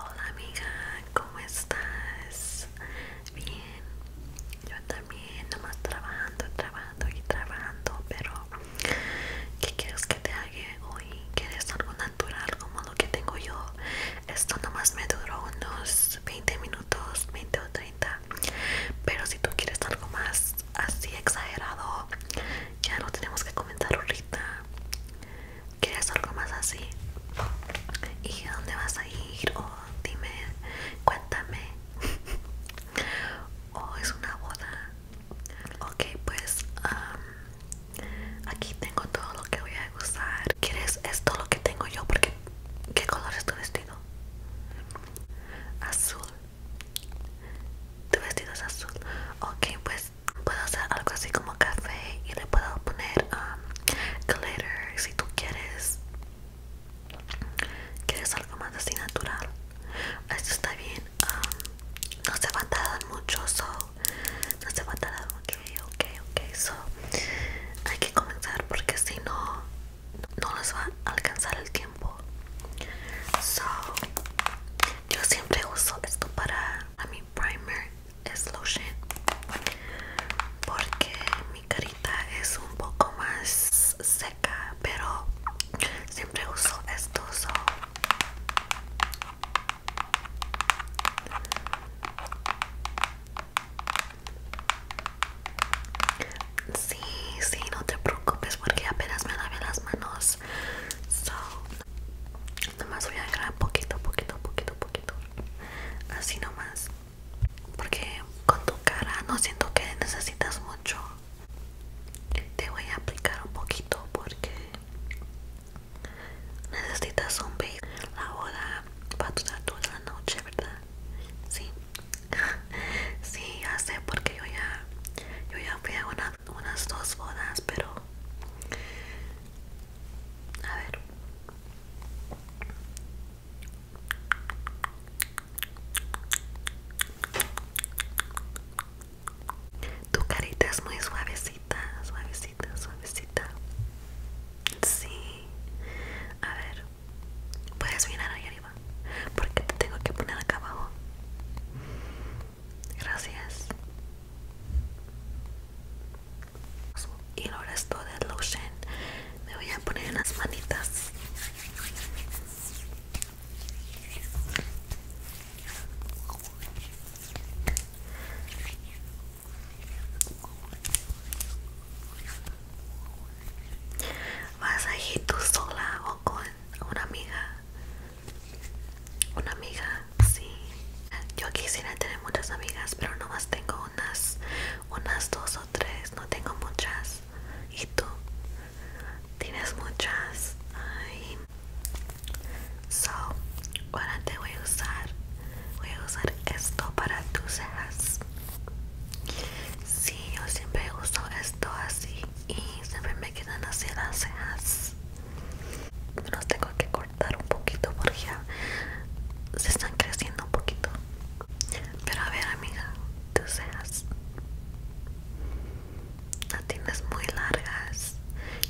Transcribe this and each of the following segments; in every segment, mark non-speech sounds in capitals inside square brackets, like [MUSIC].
Hola amiga, ¿cómo estás? Bien, yo también, nomás trabajando, trabajando y trabajando, pero ¿qué quieres que te haga hoy? ¿Quieres algo natural como lo que tengo yo? Esto nomás me duró unos 20 minutos, 20 o 30, pero si tú quieres algo más así exagerado ya no tenemos que comentar ahorita quieres algo más así y dónde vas a ir o dime cuéntame [LAUGHS] o es una boda ok pues aquí tengo todo lo que voy a usar quieres esto lo que tengo yo porque qué color es tu vestido azul tu vestido es azul. Ok, pues puedo hacer algo así como café y le puedo poner um, glitter si tú quieres. Quieres algo más así natural. Esto está bien. Um, no se va a tardar mucho, No se va a tardar mucho. Ok, ok, Hay que comenzar porque si no no les va a alcanzar el tiempo so yo siempre uso esto para mi primer es lotion porque mi carita es un poco más seca pero siempre uso esto Sí, sí, no te preocupes porque apenas me lavé las manos. So, nomás voy a agarrar poquito, poquito, poquito, poquito. Así nomás. Porque con tu cara no siento que necesitas mucho. Te voy a aplicar un poquito porque necesitas un base. La hora para toda la noche, ¿verdad? Sí, [LAUGHS] sí, ya sé, porque yo ya, yo ya fui a unas dos bodas, pero... A ver. Tu carita es muy suavecita, suavecita, suavecita. Sí. A ver. Puedes mirar allá porque te tengo que poner acá abajo gracias y lo resto de lotion me voy a poner en las manitas Vas a ir tú sola o con una amiga una amiga sí yo quisiera tener muchas amigas pero más tengo unas unas dos o tres no tengo muchas y tú tienes muchas Ay. so ahora te voy a usar voy a usar esto para tus cejas sí yo siempre uso esto así y siempre me quedan así las cejas me los tengo que cortar un poquito porque se están creciendo un poquito pero a ver amiga tus cejas las tienes muy largas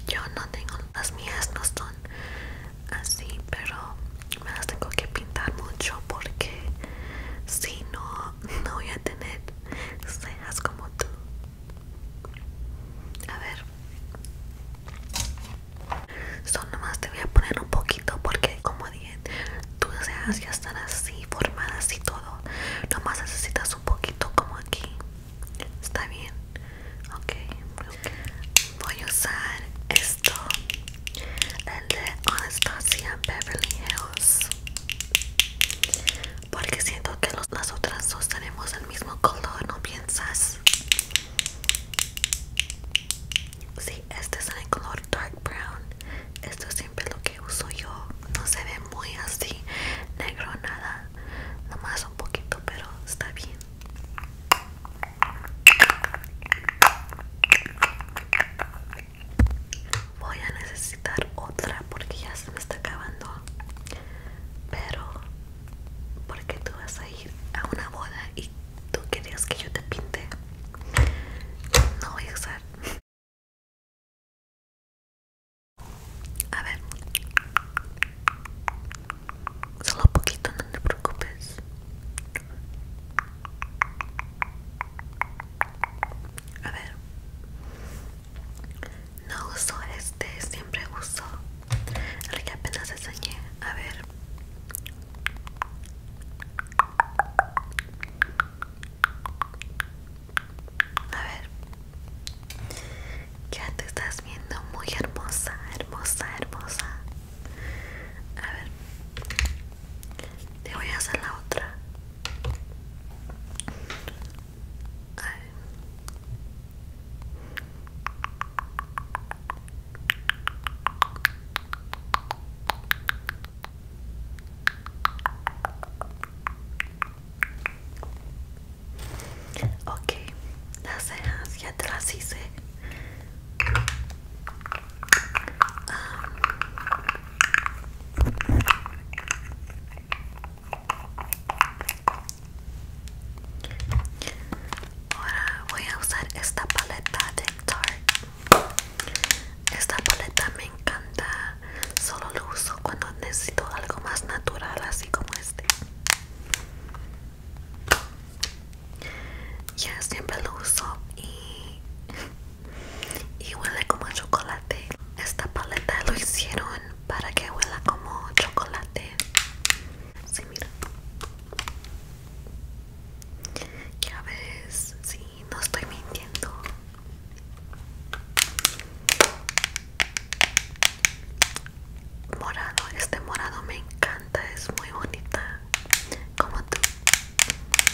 yo no tengo las mías no son así pero me las tengo que pintar mucho porque si no [LAUGHS] no voy a tener cejas como tú. A ver. Son nomás te voy a poner un poquito porque como dije, tus cejas ya están así formadas y todo. Nomás necesitas un poquito como aquí. Está bien. Voy a usar esto. El de Anastasia Beverly Hills porque siento que las otras dos tenemos el mismo color, ¿no piensas? Sí, este es el color dark brown. Esto es siempre lo que uso yo. No se ve muy así negro nada, nomás un poquito, pero está bien voy a necesitar otra porque ya se me está acabando pero porque tú vas a ir a una boda y tú querías que yo te pinte no voy a usar a ver solo poquito no te preocupes a ver. No uso este, siempre uso el que apenas enseñé. A ver. A ver. Ya te estás viendo muy hermosa, hermosa, hermosa. A ver. Te voy a hacer la otra. Okay, Ok, las cejas ya te las hice. Ah, Ahora voy a usar esta paleta de Tarte. Esta paleta me encanta, solo lo uso cuando necesito algo más natural, así como este. Ya siempre lo uso y y huele como chocolate. Esta paleta lo hicieron para que huela como chocolate. Sí, mira. Ya ves, sí, no estoy mintiendo. Morado, este morado me encanta, es muy bonita. Como tú.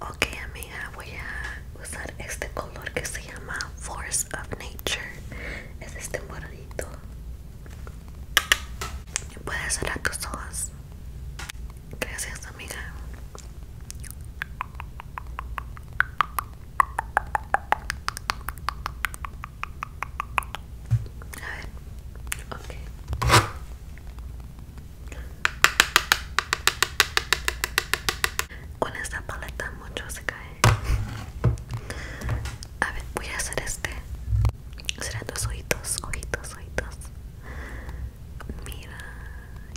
Ok amiga, voy a usar este color que se llama Force of Nature. Es este moradito. Puedes cerrar tus ojos. Gracias amiga. A ver, ok. Con esta paleta mucho se cae. A ver, voy a hacer este. Serán dos ojitos, ojitos, ojitos. Mira,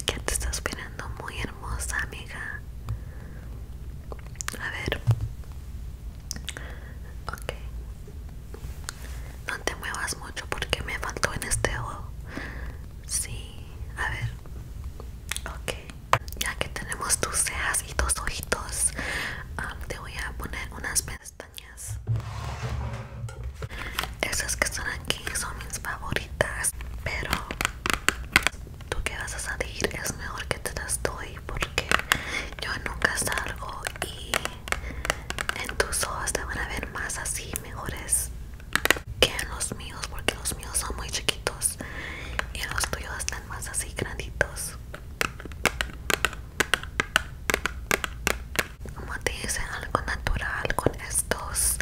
ya te estás mirando muy hermosa, amiga. A ver. Ok. No te muevas mucho porque me faltó en este ojo. Sí, a ver. Ok. Ya que tenemos tus cejas y tus ojitos, um, te voy a poner unas pestañas. Esas que están aquí son mis favoritas, pero tú que vas a salir es mejor que te las doy porque yo nunca salgo y en tus ojos te van a ver más así, mejores que en los míos porque los míos son muy chiquitos y los tuyos están más así granditos como te dicen algo natural con estos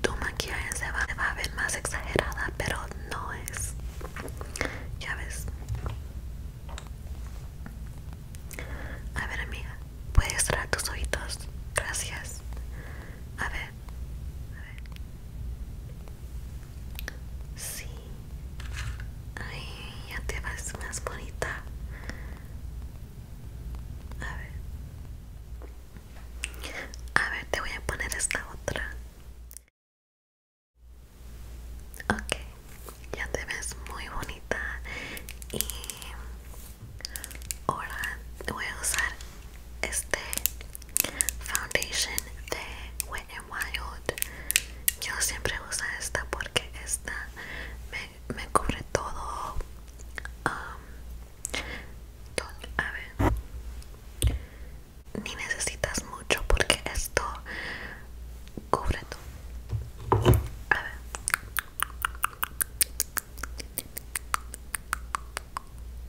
tu maquillaje se va, se va a ver más exagerada pero no es ya ves a ver amiga Puedes cerrar tus ojitos. Gracias. A ver. A ver. Sí. Ay, ya te ves más bonita. A ver. A ver, te voy a poner esta otra. Ok, ya te ves muy bonita y Ahora voy a usar este foundation de Wet n Wild. Yo siempre uso esta porque esta me, me cubre todo. Um, todo. A ver. Ni necesitas mucho porque esto cubre todo. A ver.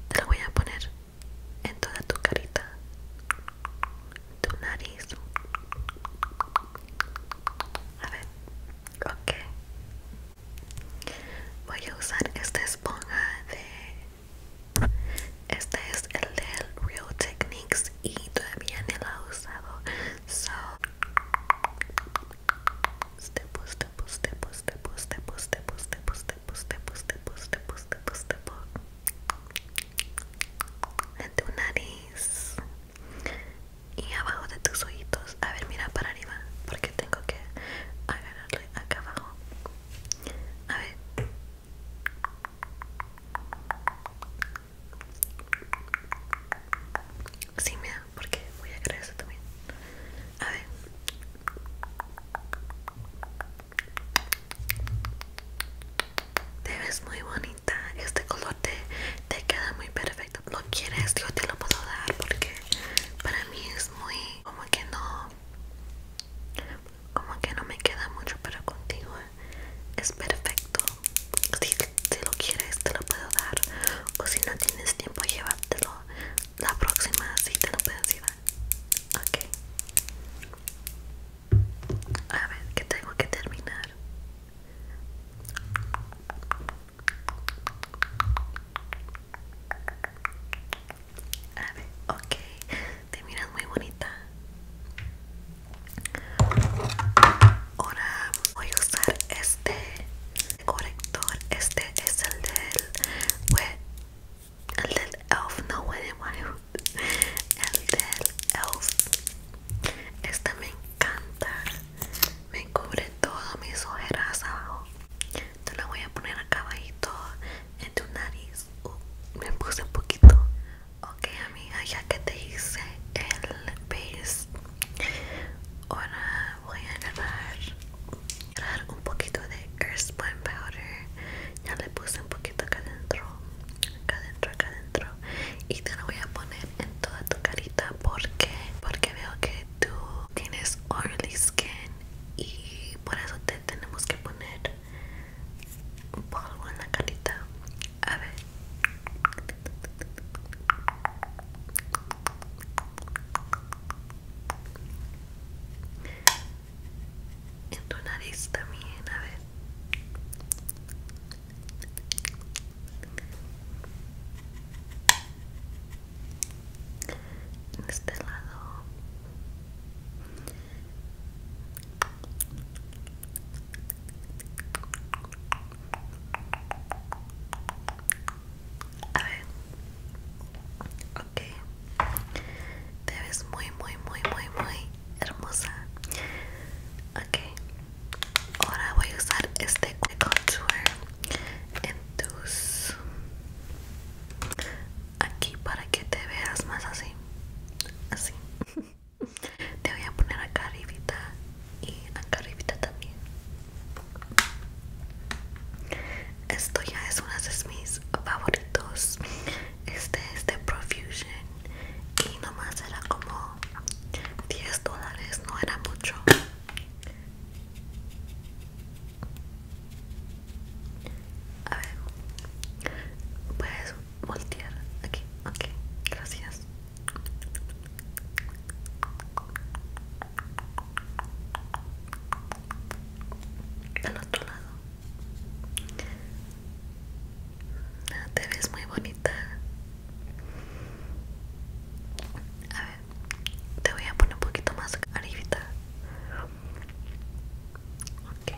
Te lo voy a poner en toda tu carita, tu nariz. A ver, ok. Voy a usar esta esponja de... Este es el del Real Techniques y todavía no la he usado. So, en tu nariz y abajo de tus ojitos. A ver, mira para arriba porque tengo que agarrarle acá abajo. A ver. Sí, me porque voy a agregar también. A ver. Te ves muy bonita. Este color te, queda muy perfecto. Lo quieres, yo te lo puedo dar porque para mí es muy como que no como que no me queda mucho para contigo ¿eh? es perfecto si, si lo quieres te lo puedo dar o si no tienes tiempo llévatelo la próxima cita no puedes ir. Ok. A ver, que tengo que terminar. A ver, ok. Te miras muy bonita. Ahora voy a usar este corrector este es el del el elf no huele el del elf esta me encanta me cubre todo mis ojeras abajo te la voy a poner acabadito abajito en tu nariz uh, me puse un poquito ok amiga ya que te hice el base ahora voy a grabar, un poquito de Earthbound Powder. Ya le puse un poquito acá adentro, acá adentro, acá adentro. Y te lo voy a poner en toda tu carita porque, porque veo que tú tienes oily skin y por eso te tenemos que poner un polvo en la carita. A ver en tu nariz también a ver en este lado a ver. Ok. Te ves muy, muy, muy, muy, muy hermosa. Ok. Ahora voy a usar este contour en tus... Aquí para que te veas más así. Así. [LAUGHS] Te voy a poner acá arribita y acá arribita también esto ya es uno de mis favoritos este es de Profusion y nomás era como 10 dólares no era mucho a ver puedes voltear aquí ok gracias al otro lado ah, te ves muy bonita a ver te voy a poner un poquito más carita. ok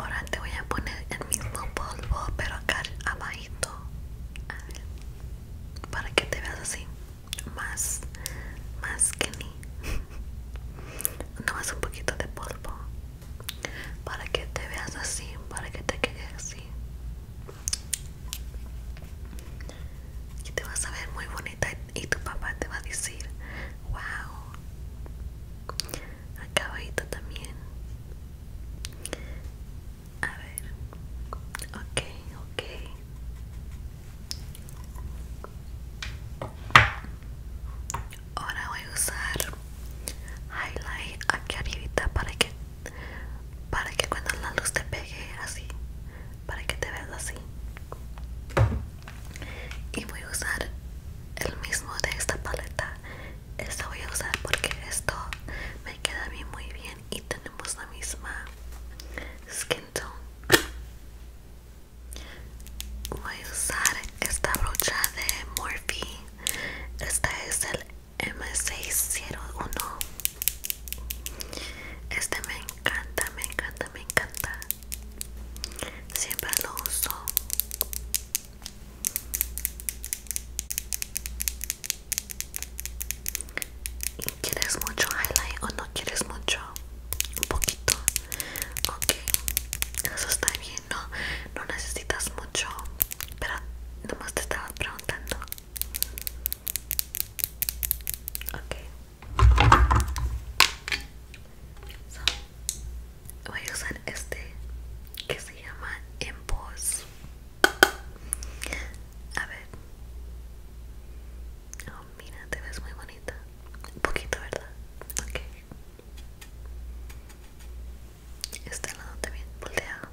ahora te voy a poner el mismo polvo pero acá abajo para que te veas así más más que ni [LAUGHS] nomás un poquito de polvo para que te veas así para que te quede así y te vas a ver muy bonita y tu papá te va a decir wow a también a ver. Ok, ok. Ahora voy a usar highlight aquí arriba para que para que cuando la luz te pegue así, para que te veas así. Y voy a usar el mismo de esta paleta esta voy a usar porque esto me queda a muy bien y tenemos la misma skin tone voy a usar esta brocha de Morphe esta es el M601 este me encanta me encanta me encanta siempre lo uso ¿Quieres mucho highlight o no quieres mucho? Un poquito. Ok, eso está bien, no, no necesitas mucho. Pero nomás te estaba preguntando. Ok. voy este que se llama en Emboss. A ver. Oh, mira, te ves muy bonita. Un poquito, ¿verdad? Ok. Este lado también volteado.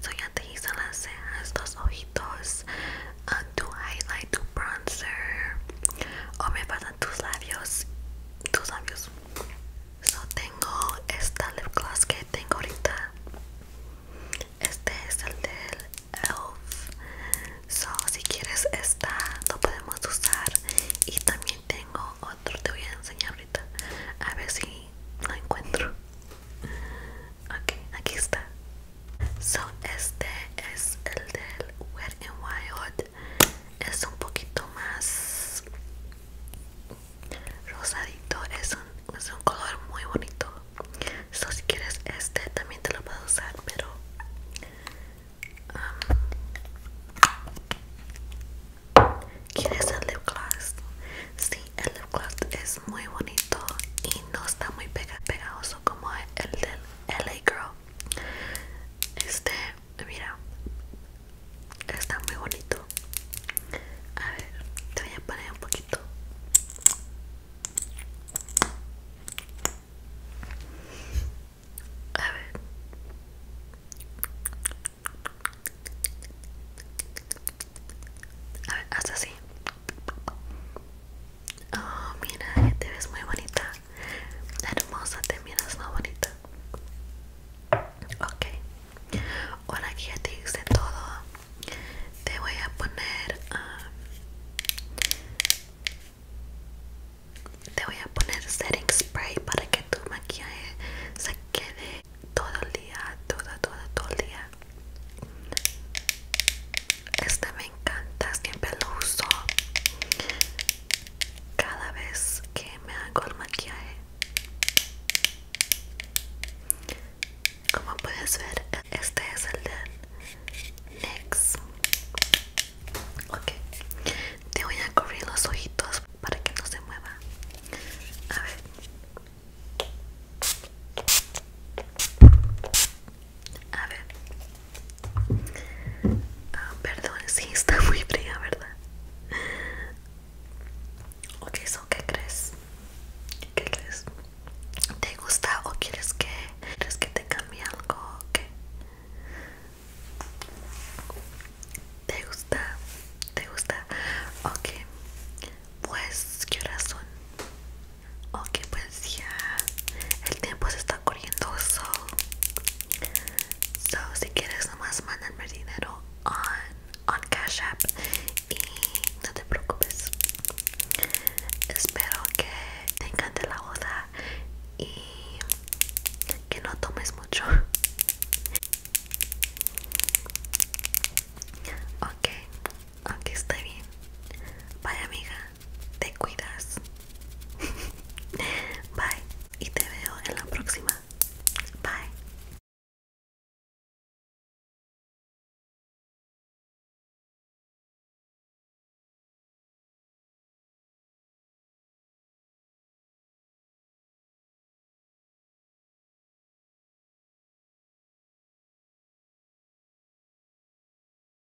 Soy y te hizo las ojitos, uh, tu highlight, tu bronzer o oh, me pasan tus labios, tus labios. So tengo esta lip gloss que tengo ahorita. Este es el del Elf. si quieres esta lo podemos usar y también tengo otro te voy a enseñar ahorita a ver si lo encuentro. Ok, aquí está. So, este es el del Wet Wild. Es un poquito más rosadito. Es un, es un color muy bonito. si quieres este también te lo puedo usar, pero... Um, ¿Quieres el lip gloss? Sí, el lip gloss es muy bonito y no está muy pegajoso como el del LA Girl. Este, mira, está muy bonito. A ver, te voy a poner un poquito. A ver. A ver, haz así. Oh, mira, te ves muy bonita. Hermosa, te miras muy bonita. Ok. Ahora aquí ya te hice todo. Te voy a poner... Um, te voy a poner setting spray para que tu maquillaje se quede todo el día, todo, todo, todo el día. Esta me encanta, siempre lo uso cada vez que me hago el maquillaje. Como puedes ver, este es el de NYX. Ok, te voy a cubrir los ojitos para que no se mueva. A ver. A ver. Ah, perdón, si está [LAUGHS] muy fría, ¿verdad? Ok, ¿eso ¿qué crees? ¿Qué crees? ¿Te gusta o quieres que, ¿quieres que te cambie algo o qué? ¿Te gusta? ¿Te gusta? Ok, pues, ¿qué razón? Ok, pues ya el tiempo se está corriendo. So, si quieres, nomás mandarme dinero on, on Cash App y no te preocupes. Espero que te encante la boda y que no tomes mucho. Ok, ok, está bien. Bye, amiga te cuidas. [LAUGHS] Bye y te veo en la próxima. Bye.